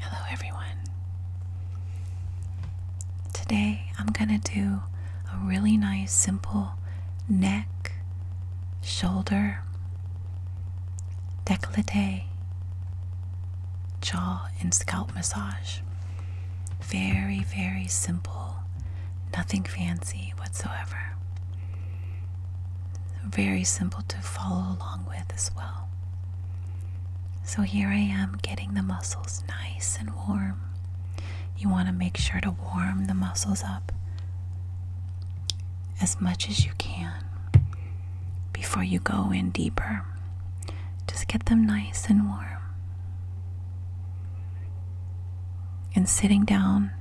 Hello, everyone. Today I'm going to do a really nice, simple neck, shoulder, décolleté, jaw, and scalp massage. Very, very simple, nothing fancy whatsoever. Very simple to follow along with as well. So here I am getting the muscles nice and warm. You want to make sure to warm the muscles up as much as you can before you go in deeper. Just get them nice and warm. And sitting down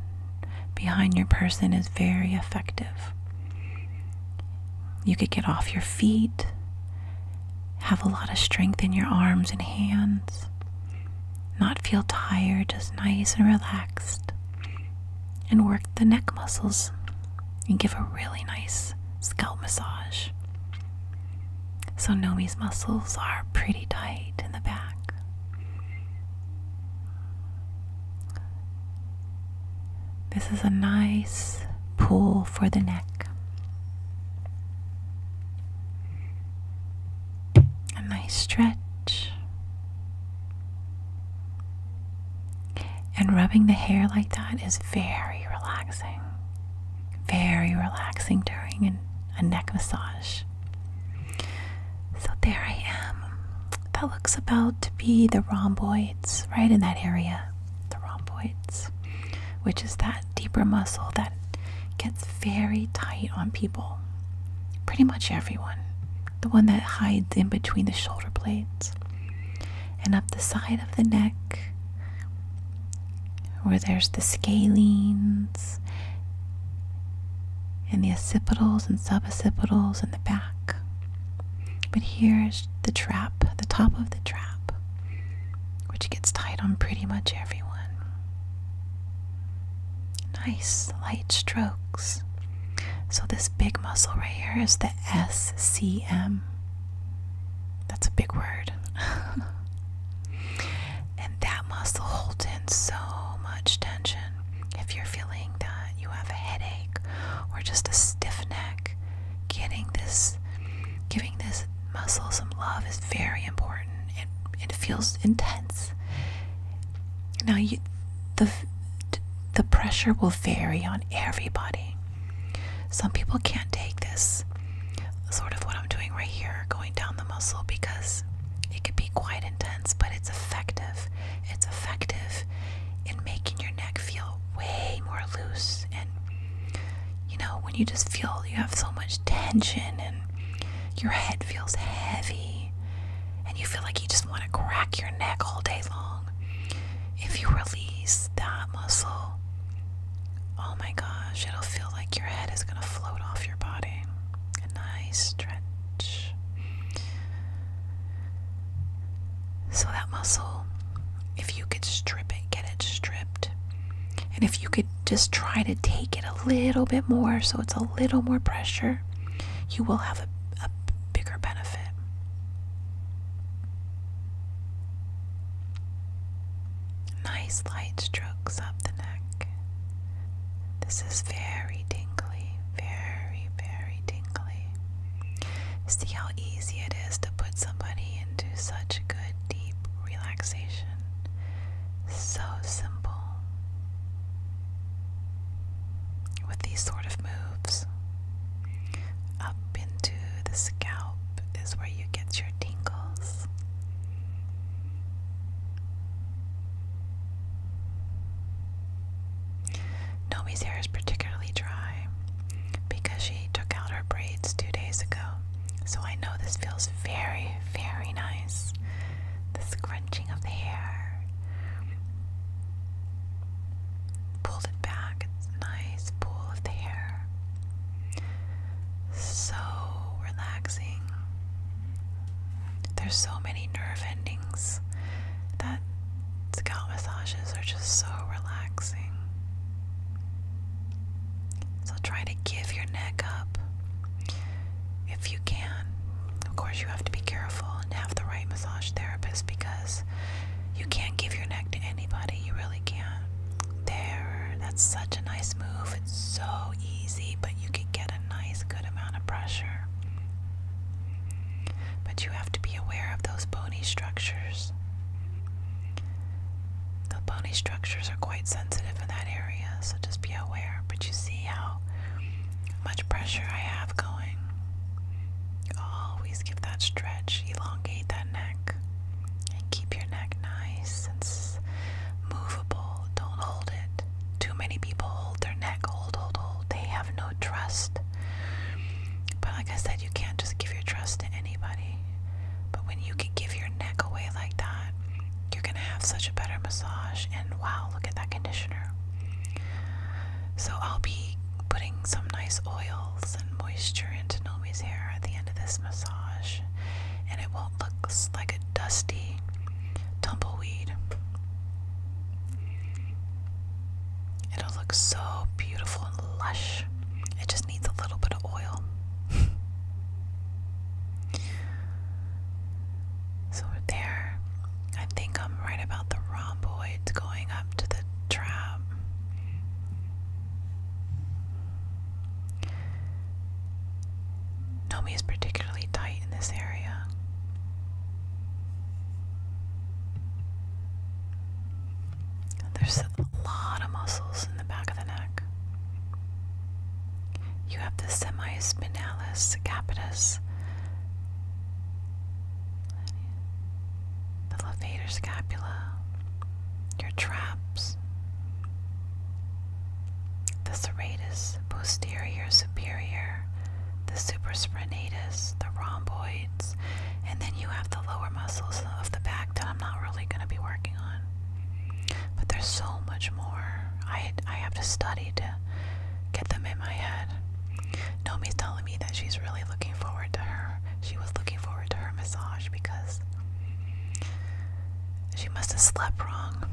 behind your person is very effective. You could get off your feet, have a lot of strength in your arms and hands, not feel tired, just nice and relaxed, and work the neck muscles and give a really nice scalp massage. So Nomi's muscles are pretty tight in the back. This is a nice pull for the neck. A nice stretch. And rubbing the hair like that is very relaxing. Very relaxing during a neck massage. So there I am. That looks about to be the rhomboids, right in that area. The rhomboids, which is that deeper muscle that gets very tight on people. Pretty much everyone. The one that hides in between the shoulder blades. And up the side of the neck, where there's the scalene, and the occipitals and suboccipitals in the back. But here's the trap, the top of the trap, which gets tied on pretty much everyone. Nice light strokes. So, this big muscle right here is the SCM. That's a big word. And that muscle holds in so much tension. If you're feeling that you have a headache or just a stiff neck, getting this, giving this muscle some love is very important. It, it feels intense. Now, you, the, the pressure will vary on everybody. Some people can't take this, sort of what I'm doing right here, going down the muscle because it can be quite intense, but it's effective. It's effective in making your neck feel way more loose. And you know, when you just feel you have so much tension and your head feels heavy and you feel like you just want to crack your neck all day long, if you release that muscle, oh my gosh, it'll feel like your head is going to float off your body a nice stretch. So, that muscle, if you could strip it, get it stripped. And if you could just try to take it a little bit more so it's a little more pressure, you will have a, bigger benefit. Nice light strokes up the neck. This is very tingly, very, very tingly. See how easy it is to put somebody into such good, deep relaxation. So simple. With these sort of moves, up into the scalp is where you get your tingles. Nomi's hair is particularly dry because she took out her braids two days ago, so I know this feels very, very nice. The scrunching of the hair. Pulled it back, nice pull of the hair. So relaxing. There's so many nerve endings that scalp massages are just so relaxing. So try to give your neck up if you can. Of course, you have to be careful and have the right massage therapist because you can't give your neck to anybody. You really can't. There, that's such a nice move. It's so easy, but you could get a nice amount of pressure. But you have to be aware of those bony structures. The bony structures are quite sensitive in that area, so just be aware. But you see how much pressure I have going. Always give that stretch, elongate that neck, and keep your neck nice and movable. Don't hold it. Too many people hold their neck, hold, hold, hold. They have no trust. But like I said, you can't just give your trust to anybody. But when you can give your neck away like that, you're gonna have such a better massage. And wow, look at that conditioner. So I'll be putting some nice oils and moisture into Nomi's hair at the end of this massage, and it won't look like a dusty tumbleweed. It'll look so beautiful and lush. It just needs a little bit of oil. so there. I think I'm right about the rhomboids going up to the trap. Nomi is particularly tight in this area. There's a lot of muscles in the back of the neck. You have the semispinalis capitis, the levator scapula, your traps, the serratus posterior superior, the supraspinatus, the rhomboids, and then you have the lower muscles of the back that I'm not really going to be working on. But there's so much more. I I have to study to get them in my head. Nomi's telling me that she's really looking forward to her. She was looking forward to her massage because she must have slept wrong.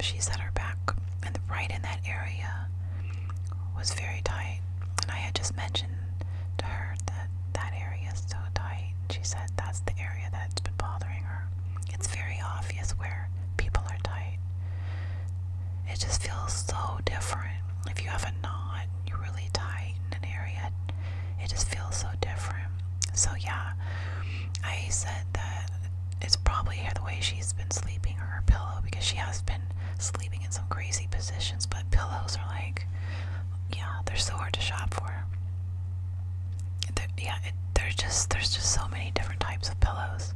She's at her back, and right in that area was very tight. And I had just mentioned to her that that area is so tight. She said that's the area that's been bothering her. It's very obvious where people are tight. It just feels so different. If you have a knot and you are really tight in an area, it just feels so different. So, yeah, I said that it's probably the way she's been sleeping or her pillow because she has been sleeping in some crazy positions, but pillows are like, yeah, they're so hard to shop for. They're, yeah, it, just there's just so many different types of pillows,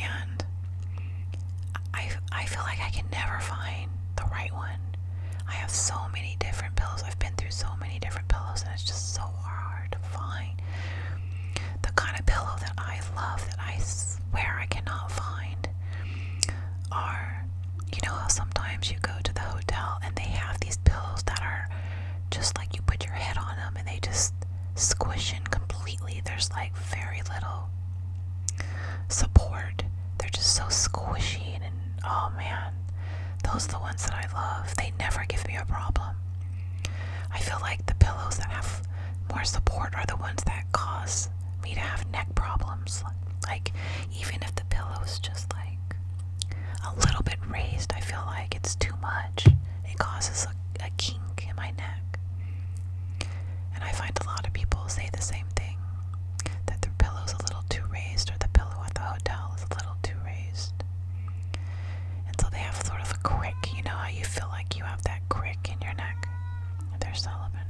and I I feel like I can never find the right one. I have so many different pillows. I've been through so many different pillows, and it's just so hard to find the kind of pillow that I love that I where I cannot find are you know how sometimes you go to the hotel and they have these pillows that are just like you put your head on them and they just squish in completely. There's like very little support. They're just so squishy and, and oh man, those are the ones that I love. They never give me a problem. I feel like the pillows that have more support are the ones that cause me to have neck problems. Like, even if the pillow's just like a little bit raised, I feel like it's too much. It causes a, a kink in my neck. And I find a lot of people say the same thing that their pillow's a little too raised, or the pillow at the hotel is a little too raised. And so they have sort of a crick. You know how you feel like you have that crick in your neck? There's Sullivan.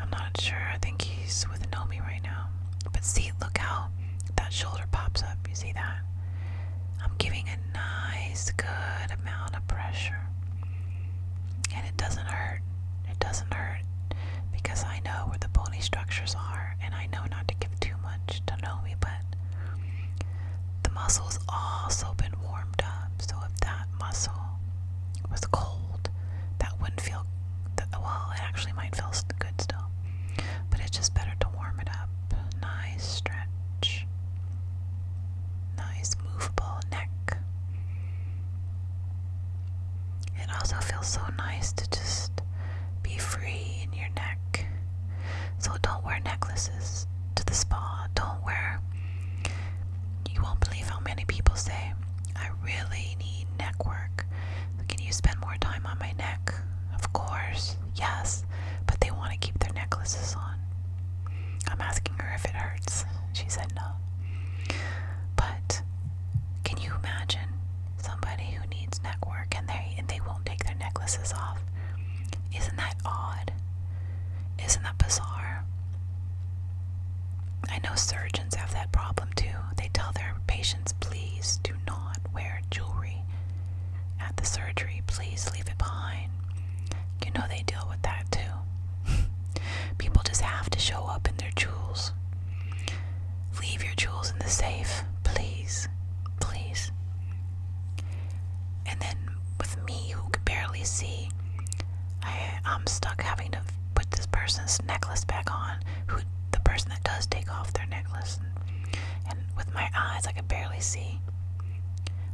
I'm not sure. I think he's with Nomi right now. But see, look how that shoulder pops up. You see that? I'm giving a nice, good amount of pressure. And it doesn't hurt. It doesn't hurt because I know where the bony structures are and I know not to give too much to Nomi, but the muscle's also been warmed up, so if that muscle was cold, that wouldn't feel well, it actually might feel good still. But it's just better to warm it up. Nice stretch. Nice movable neck. It also feels so nice to just be free in your neck. So don't wear necklaces to the spa. Don't wear. You won't believe how many people say, I really need neck work. Can you spend more time on my neck? Of course, yes, but they want to keep their necklaces on. I'm asking her if it hurts. She said no. But can you imagine somebody who needs neck work and they and they won't take their necklaces off. Isn't that odd? Isn't that bizarre? I know surgeons have that problem too. They tell their patients, please do not wear jewelry at the surgery. Please leave it behind. You know they deal with that too. People just have to show up in their jewels. Leave your jewels in the safe, please. Please. And then with me, who can barely see, I, am stuck having to put this person's necklace back on, who the person that does take off their necklace. And, with my eyes, I can barely see.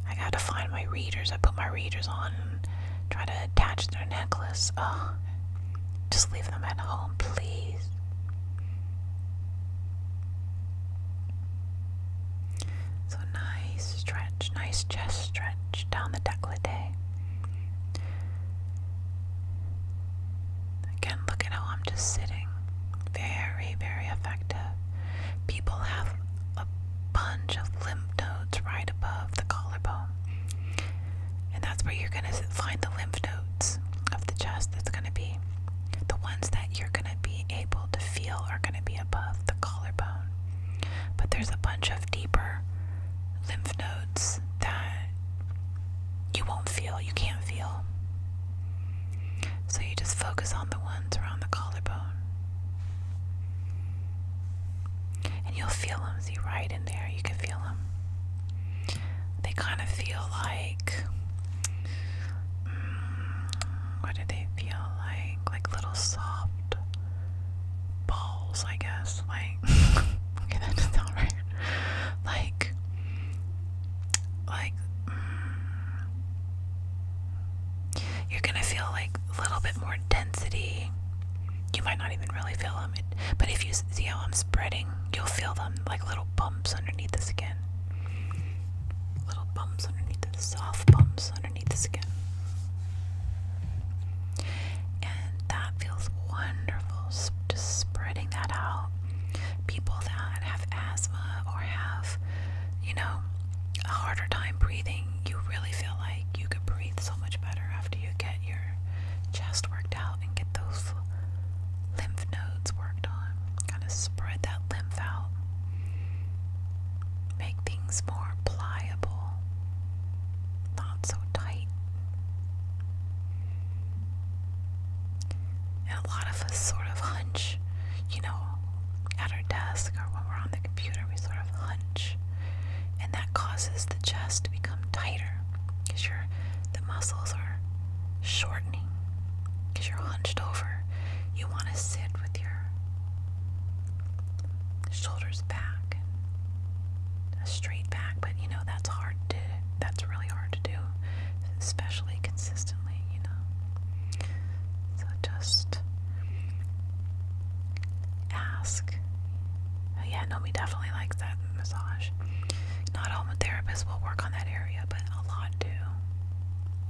I got to find my readers. I put my readers on and try to attach their necklace. Oh, just leave them at home, please. So nice stretch, nice chest stretch down the décolleté. Again, look at how I'm just sitting. Very, very effective. People have a bunch of lymph nodes right above the collarbone. And that's where you're going to find the lymph nodes of the chest. That's going to be the ones that you're going to be able to feel are going to be above the collarbone. But there's a bunch of deeper lymph nodes that you won't feel, you can't feel. So you just focus on the ones around the collarbone. And you'll feel them. See, right in there, you can feel them. They kind of feel like like mm, what do they feel like? Like little soft balls, I guess. Like okay, that does right. Like like mm, you're gonna feel like a little bit more density. You might not even really feel them, but if you see how I'm spreading, you'll feel them like little bumps underneath the skin little bumps underneath the soft bumps underneath the skin. And that feels wonderful, just spreading that out. People that have asthma or have, you know, a harder time breathing, you really feel like you could breathe so much better after you get your chest worked out and get those lymph nodes worked on kind of spread that lymph out, make things more pliable, not so tight. And a lot of us sort of hunch, you know, at our desk or when we're on the computer, we sort of hunch, and that causes the chest to become tighter because your the muscles are shortening because you're hunched over. You want to sit with your shoulders back and a straight back, but you know that's hard to that's really hard to do, especially consistently, you know. So just ask. Oh, yeah, no, we definitely like that massage. Not all therapists will work on that area, but a lot do.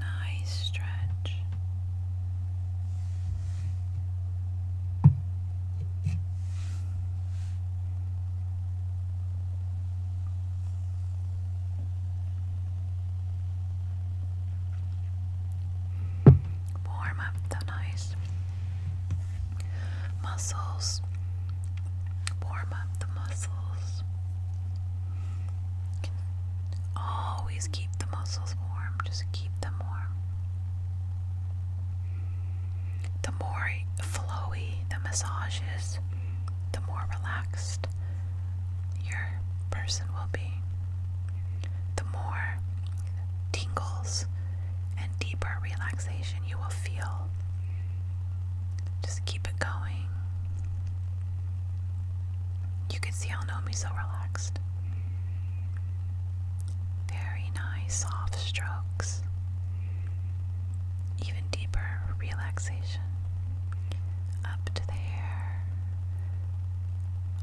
nice stretch. Warm up the nice muscles, warm up the muscles. Always keep the muscles warm, just keep them warm. The more flowy the massage is, the more relaxed your person will be. The more tingles and deeper relaxation you will feel. Just keep it going. You can see how Nomi's so relaxed. Very nice, soft strokes. Even deeper relaxation up to the hair.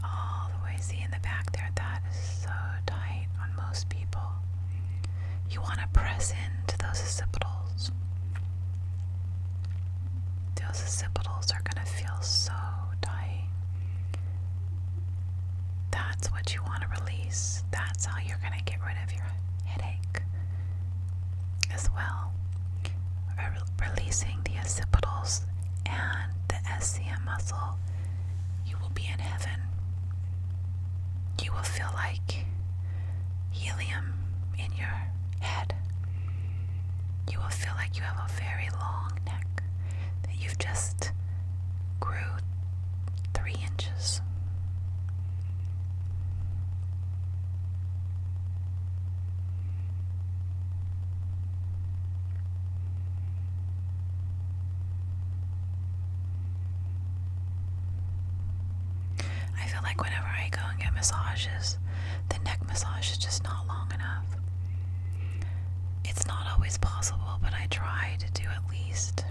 All the way. See in the back there, that is so tight on most people. You want to press into those occipitals. Those occipitals are going to feel so tight. That's what you want to release. That's how you're going to get rid of your headache as well. releasing the occipitals and the SCM muscle, you will be in heaven. You will feel like helium in your head, you will feel like you have a very long neck that you've just grew three inches. I feel like whenever I go and get massages, the neck massage is just not long enough. It's not always possible, but I try to do at least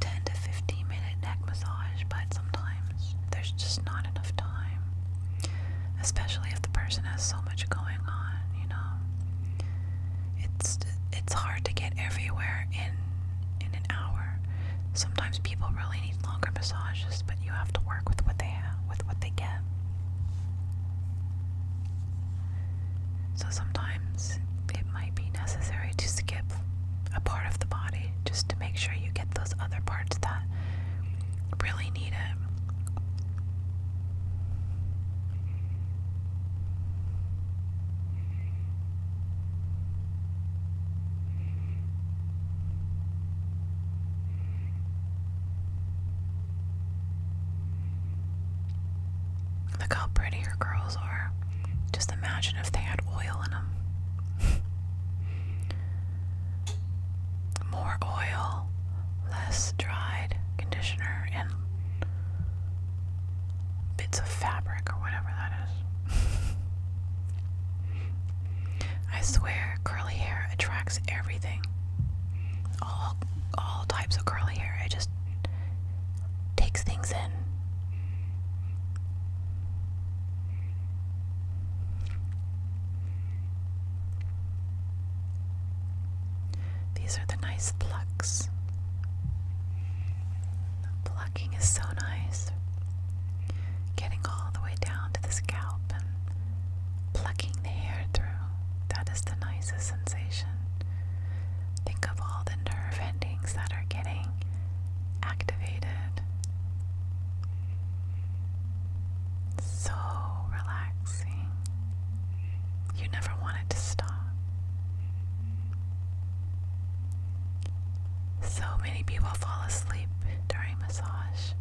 10 to 15 minute neck massage, but sometimes there's just not enough time. Especially if the person has so much going on, you know. It's it's hard to get everywhere in in an hour. Sometimes people really need longer massages, but you have to work with what they have, with what they get. So sometimes it might be necessary to skip a part of the body just to make sure you get those other parts that really need it. Look how pretty her curls are. Just imagine if they had oil in them. More oil, less dried conditioner, and bits of fabric or whatever that is. I swear, curly hair attracts everything. All all types of curly hair. It just takes things in. These are the nice plucks plucking is so nice. Getting all the way down to the scalp and plucking the hair through. That is the nicest sensation. Think of all the nerve endings that are getting activated. So relaxing. You never want to stop. So many people fall asleep during massage.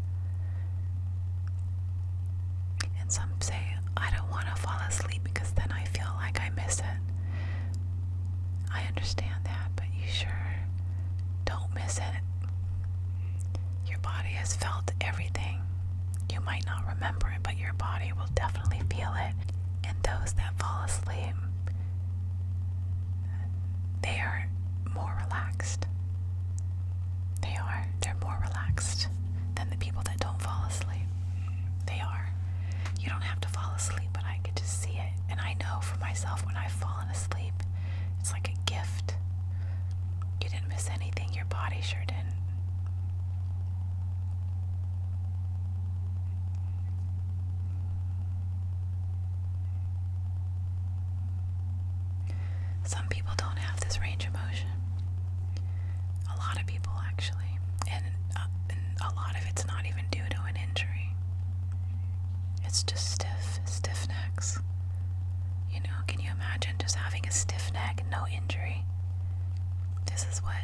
And some say, I don't want to fall asleep because then I feel like I miss it. I understand that, but you sure don't miss it. Your body has felt everything. You might not remember it, but your body will definitely feel it. And those that fall asleep they are more relaxed. They are. They're more relaxed than the people that don't fall asleep. They are. You don't have to fall asleep, but I get to see it. And I know for myself when I've fallen asleep, it's like a gift. You didn't miss anything, your body sure didn't. Some people don't have this range of motion. A lot of people, actually. Uh, and, a lot of it's not even due to an injury, it's just stiff, stiff necks. You know, can you imagine just having a stiff neck, no injury? This is what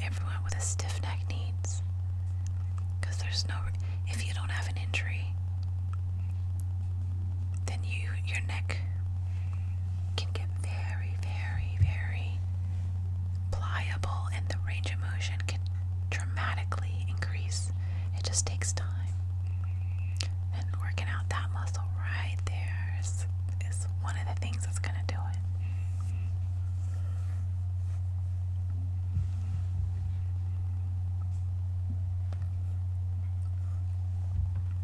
everyone with a stiff neck needs. Because there's no if you don't have an injury, then you your neck can get very, very, very pliable and the range of motion can dramatically increase. It just takes time. And working out that muscle right there is, is one of the things that's going to do it.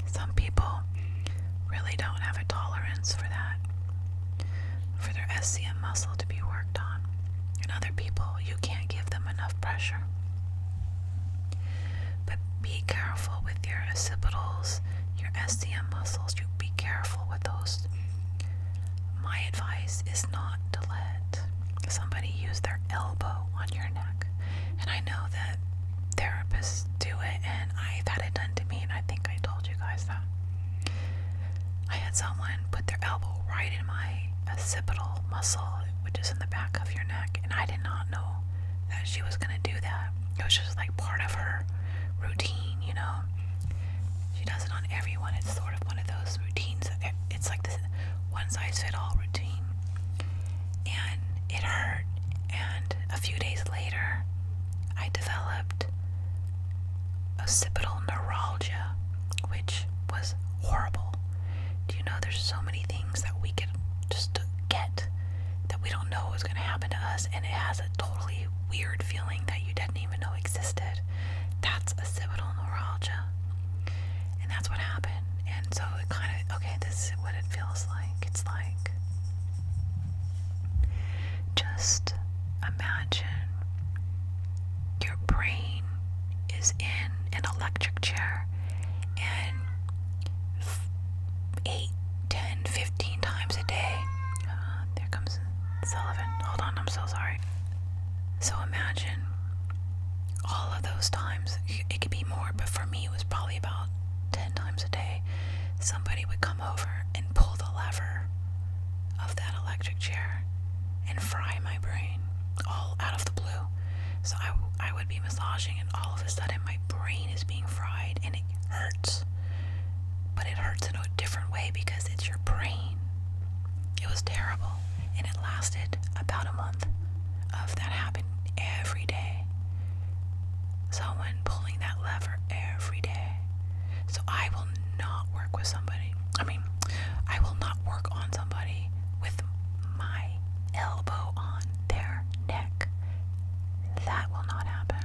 Some people really don't have a tolerance for that, for their SCM muscle to be worked on. And other people, you can't give them enough pressure. But be careful with your occipitals, your SCM muscles. You be careful with those. My advice is not to let somebody use their elbow on your neck. And I know that therapists do it, and I've had it done to me, and I think I told you guys that. I had someone put their elbow right in my occipital muscle, which is in the back of your neck, and I did not know that she was gonna do that. It was just like part of her routine, you know. She does it on everyone, it's sort of one of those routines. It's like this one size fits all routine. And it hurt. And a few days later, I developed occipital neuralgia, which was horrible. Do you know there's so many things that we could just get that we don't know is going to happen to us, and it has a totally weird feeling that you didn't even know existed? That's a occipital neuralgia. And that's what happened. And so it kind of, okay, this is what it feels like. It's like just imagine your brain is in an electric chair and 8, 10, 15 times a day. Uh, there comes Sullivan. Hold on, I'm so sorry. So imagine all of those times. It could be more, but for me, it was probably about 10 times a day. Somebody would come over and pull the lever of that electric chair and fry my brain all out of the blue. So I, I would be massaging, and all of a sudden, my brain is being fried and it hurts. But it hurts in a different way because it's your brain. It was terrible and it lasted about a month of that happening every day. Someone pulling that lever every day. So I will not work with somebody. I mean, I will not work on somebody with my elbow on their neck. That will not happen.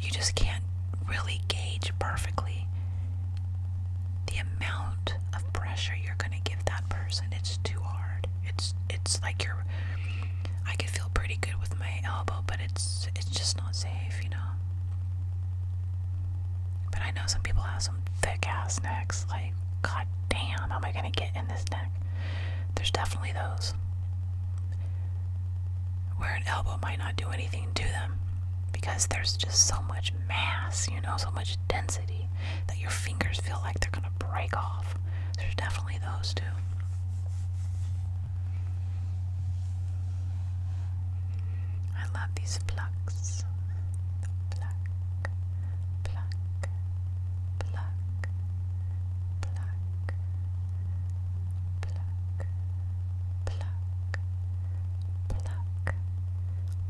You just can't really gauge perfect the amount of pressure you're gonna give that person it's too hard it's it's like you I could feel pretty good with my elbow but it's it's just not safe you know but I know some people have some thick ass necks like god damn how am I gonna get in this neck there's definitely those where an elbow might not do anything to them because there's just so much mass, you know, so much density that your fingers feel like they're gonna break off. There's definitely those two. I love these plucks pluck, pluck,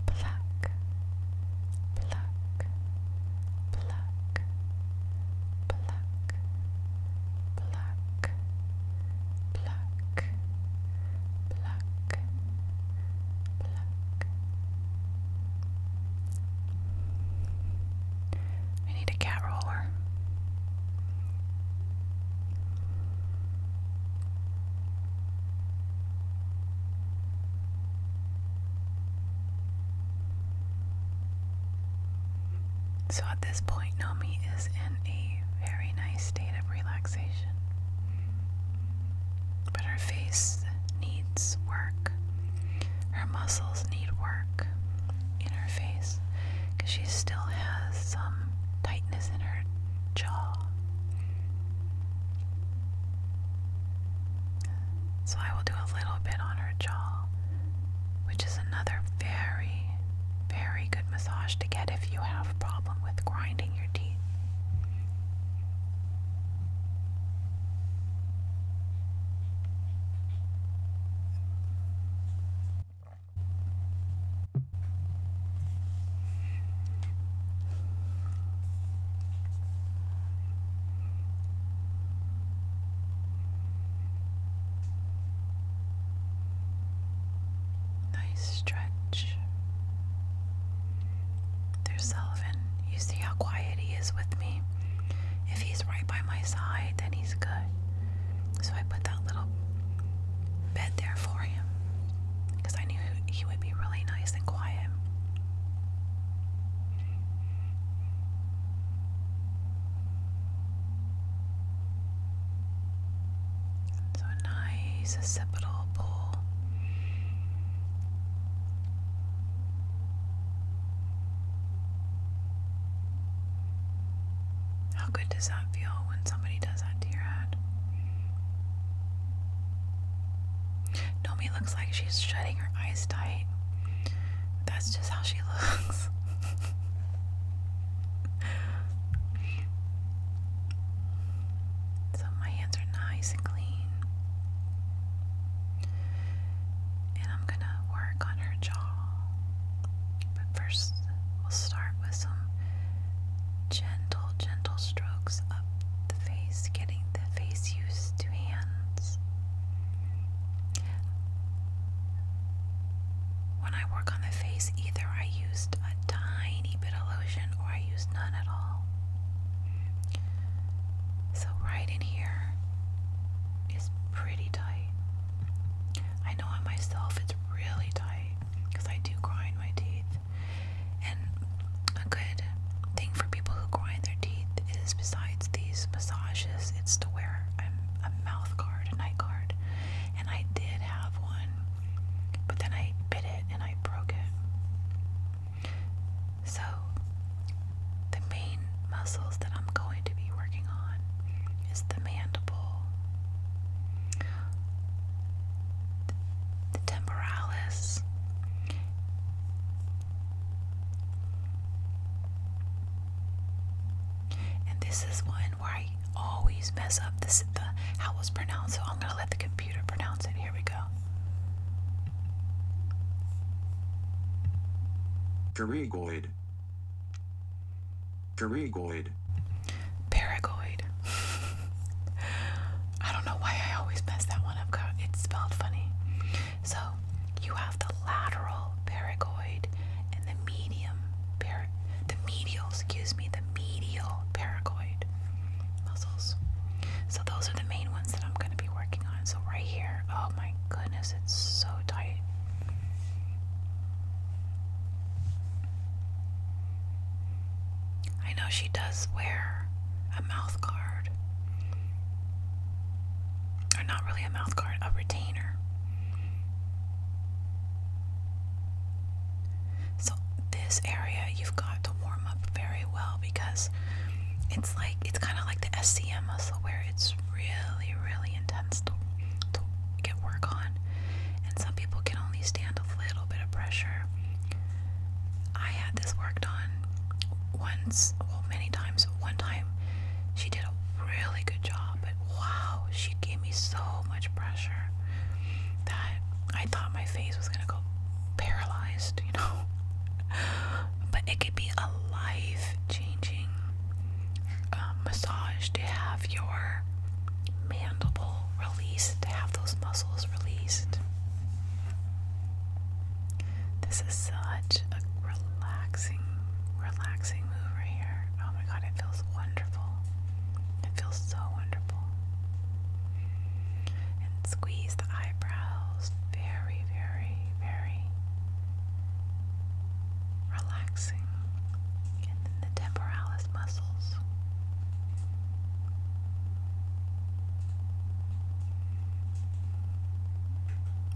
pluck, pluck, pluck, pluck, pluck, pluck, pluck. We need a cat roller. So at this point, Nami is in a very nice state of relaxation. But her face needs work. Her muscles need work in her face because she still has some tightness in her jaw. So I will do a little bit on her jaw, which is another very, very good massage to get if you have a problem with grinding your teeth. Nice stretch. There's Sullivan. You see how quiet he is with me. If he's right by my side, then he's good. So I put that little bed there for him because I knew he would be really nice and quiet. So nice occipital pull. How good does that feel when somebody does that to your head? Nomi looks like she's shutting her eyes tight. That's just how she looks. so my hands are nice and clean. And I'm gonna work on her jaw. But first, we'll start with some gentle, gentle strokes the face, getting the face used to hands. When I work on the face, either I used a tiny bit of lotion or I used none at all. So, right in here is pretty tight. I know on myself it's really tight because I do grind my teeth. And a good thing for people who grind their teeth is, besides these massages, it's to wear a, mouth guard, a night guard. And I did have one, but then I bit it and I broke it. So, the main muscles that I'm going to be working on is the mandible the temporalis. And this is one where I always mess up the how it's pronounced, so I'm going to let the computer pronounce it. Here we go. Pterygoid. Pterygoid. Paragoid. I don't know why I always mess that one up. It's spelled funny. So you have the lateral paragoid and the medium par the medial, excuse me, the medial paragoid muscles. So those are the main ones that I'm going to be working on. So right here, oh my goodness, it's so tight. I know she does wear a mouth guard. Or not really a mouth guard, a retainer. So, this area you've got to warm up very well because it's like it's kind of like the SCM muscle where it's really, really intense to, get work on, and some people can only stand a little little bit of pressure. I had this worked on once, well, many times. One time, she did a really good job, but wow, she gave me so much pressure that I thought my face was gonna go paralyzed, you know. But it could be a life changing uh, massage to have your mandible release, to have those muscles released. This is such a relaxing, relaxing move right here. Oh my god, it feels wonderful. It feels so wonderful. And squeeze the eyebrows. Very, very, very relaxing. And then the temporalis muscles.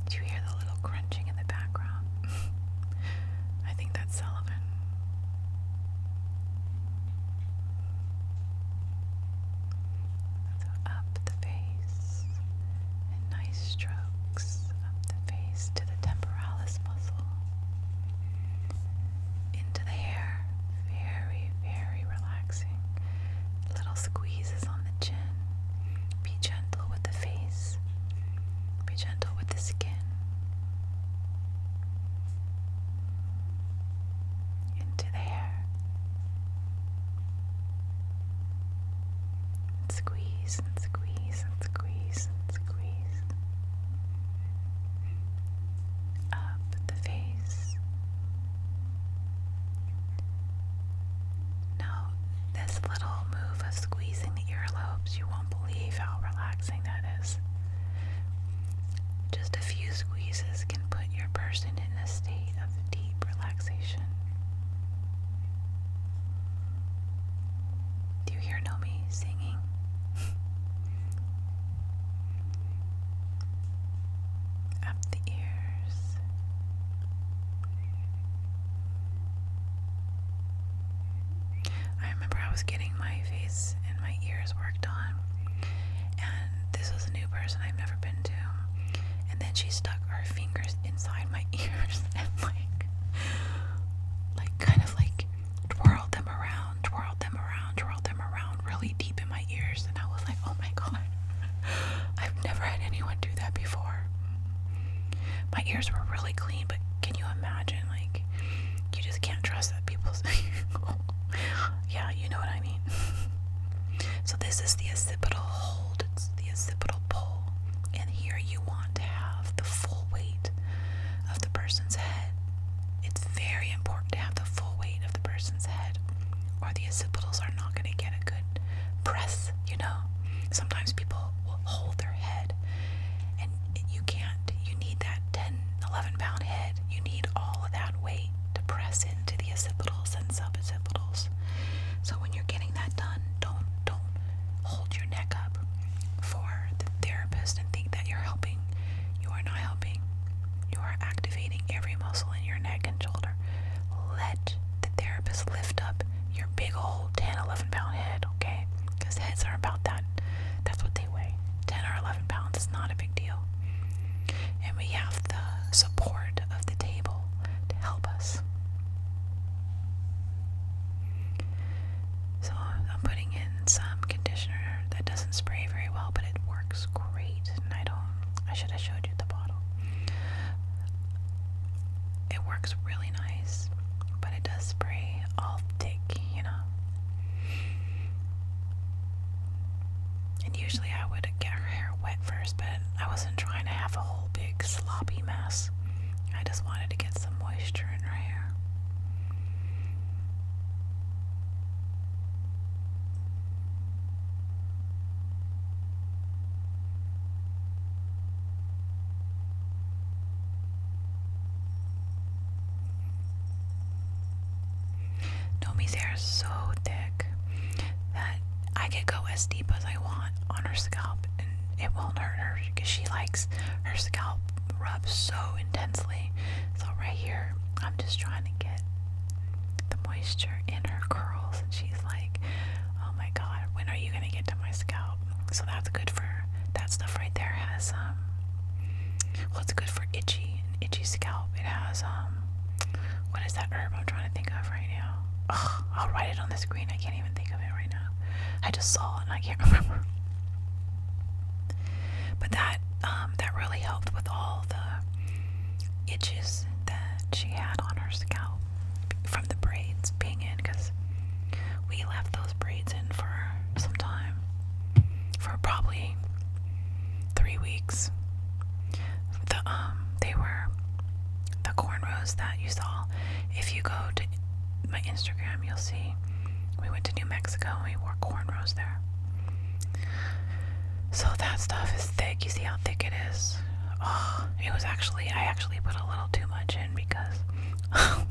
Do you hear the little crunching in the background? I think that's Sullivan. up the face and nice strokes up the face to the temporalis muscle into the hair. Very, very relaxing. Little squeezes on the chin. Be gentle with the face. Be gentle with the skin. Into the hair. squeeze and squeeze and squeeze and squeeze of the face. Now, this little move of squeezing the earlobes, you won't believe how relaxing that is. Just a few squeezes can put your person in a state of deep relaxation. Do you hear Nomi singing? up the ears. I remember I was getting my face and my ears worked on, and this was a new person I've never been to. And then she stuck her fingers inside my ears and like, like kind of like twirled them around twirled them around, twirled them around really deep in my ears, and I was like, oh my god, I've never had anyone do that before. My ears were really clean, but can you imagine? Like, you just can't trust that people's. yeah, you know what I mean. so, this is the occipital hold, it's the occipital pull, and here you want to have the full weight of the person's head it's very important to have the full weight of the person's head, or the occipitals are not going to get a good press, you know. Sometimes people will hold their head, and you can't. You need that 10, 11 pound head. You need all of that weight to press into the occipitals and suboccipitals. So when you're getting that done, don't don't hold your neck up for the therapist and think that you're helping you are not helping. You are activating every muscle in your neck and shoulder. Let the therapist lift up your big old 10, 11 pound head, okay? Because heads are about that. That's what they weigh 10 or 11 pounds. is not a big deal. And we have the support of the table to help us. So I'm putting in some conditioner that doesn't spray very well, but it works works great, and I don't. I should have showed you the bottle. It works really nice, but it does spray all thick, you know. And usually I would get her hair wet first, but I wasn't trying to have a whole big sloppy mess. I just wanted to get some moisture in her hair. Nomi's hair is so thick that I could go as deep as I want on her scalp and it won't hurt her because she likes her scalp rubbed so intensely. So right here, I'm just trying to get the moisture in her curls, and she's like, "Oh my God, when are you gonna get to my scalp?" So that's good for that stuff right there. Has um, well, it's good for itchy and itchy scalp. It has um, what is that herb I'm trying to think of right now? I'll write it on the screen. I can't even think of it right now. I just saw and I can't remember. But that um, that really helped with all the itches that she had on her scalp from the braids being in because we left those braids in for some time for probably three weeks the um they were the cornrows that you saw if you go to my Instagram you'll see we went to New Mexico and we wore cornrows there so that stuff is thick. You see how thick it is? Oh, it was actually, I actually put a little too much in because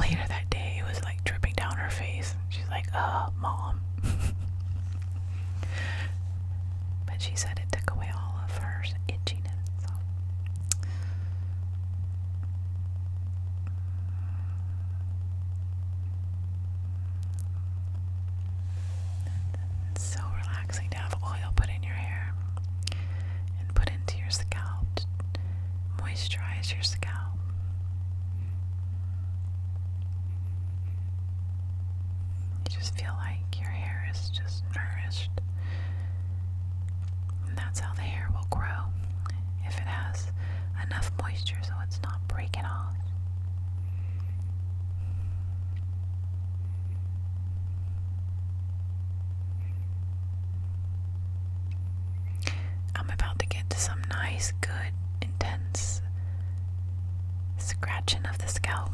later that day it was like dripping down her face. She's like, uh, mom. but she said it took away all of her itchiness. It's so relaxing to have oil put in your hair and put into your scalp moisturize your scalp. You just feel like your hair is just nourished. And that's how the hair will grow if it has enough moisture so it's not breaking off. I'm about to get to some nice, good, intense scratching of the scalp.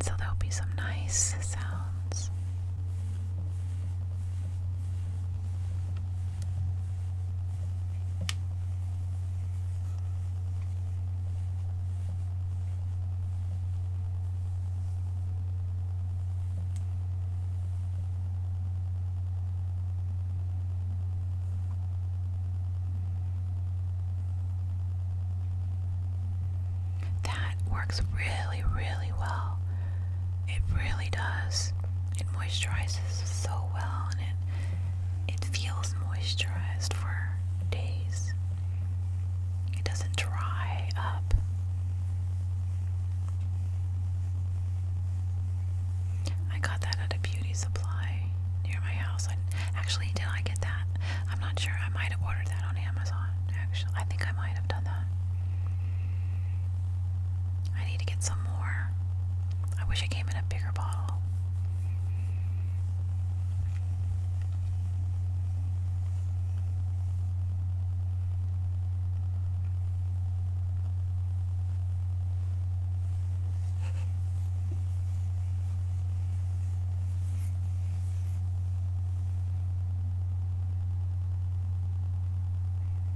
so there'll be some nice sounds. That works really, really well it really does. It moisturizes so well and it it feels moisturized for days. It doesn't dry up. I got that at a beauty supply near my house. actually, did I get that? I'm not sure. I might have ordered that on Amazon. Actually, I think I might have done that. I need to get some more. I wish it came in a bigger bottle.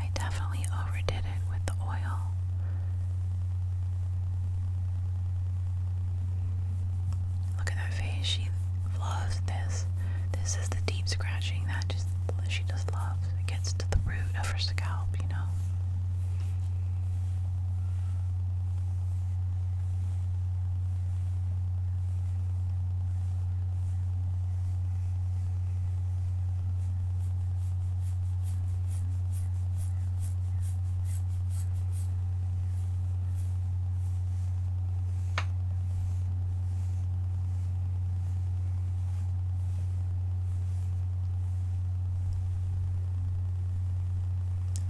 I definitely overdid it with the oil. Look at her face. She loves this. This is the deep scratching that just she just loves. It gets to the root of her scalp, you know.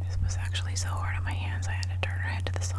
This was actually so hard on my hands, I had to turn her head to the side.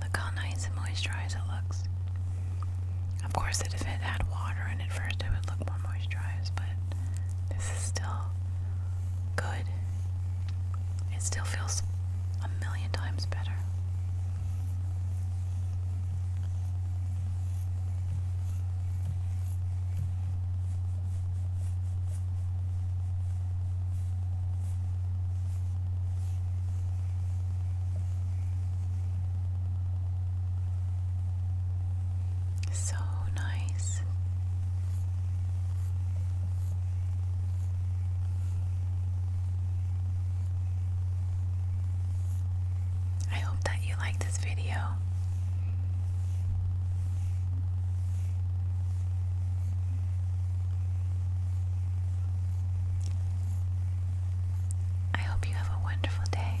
Look how nice and moisturized it looks. Of course, if it had water and at first, it would look more moisturized, but this is still good it still feels a million times better. So nice. I hope that you like this video. I hope you have a wonderful day.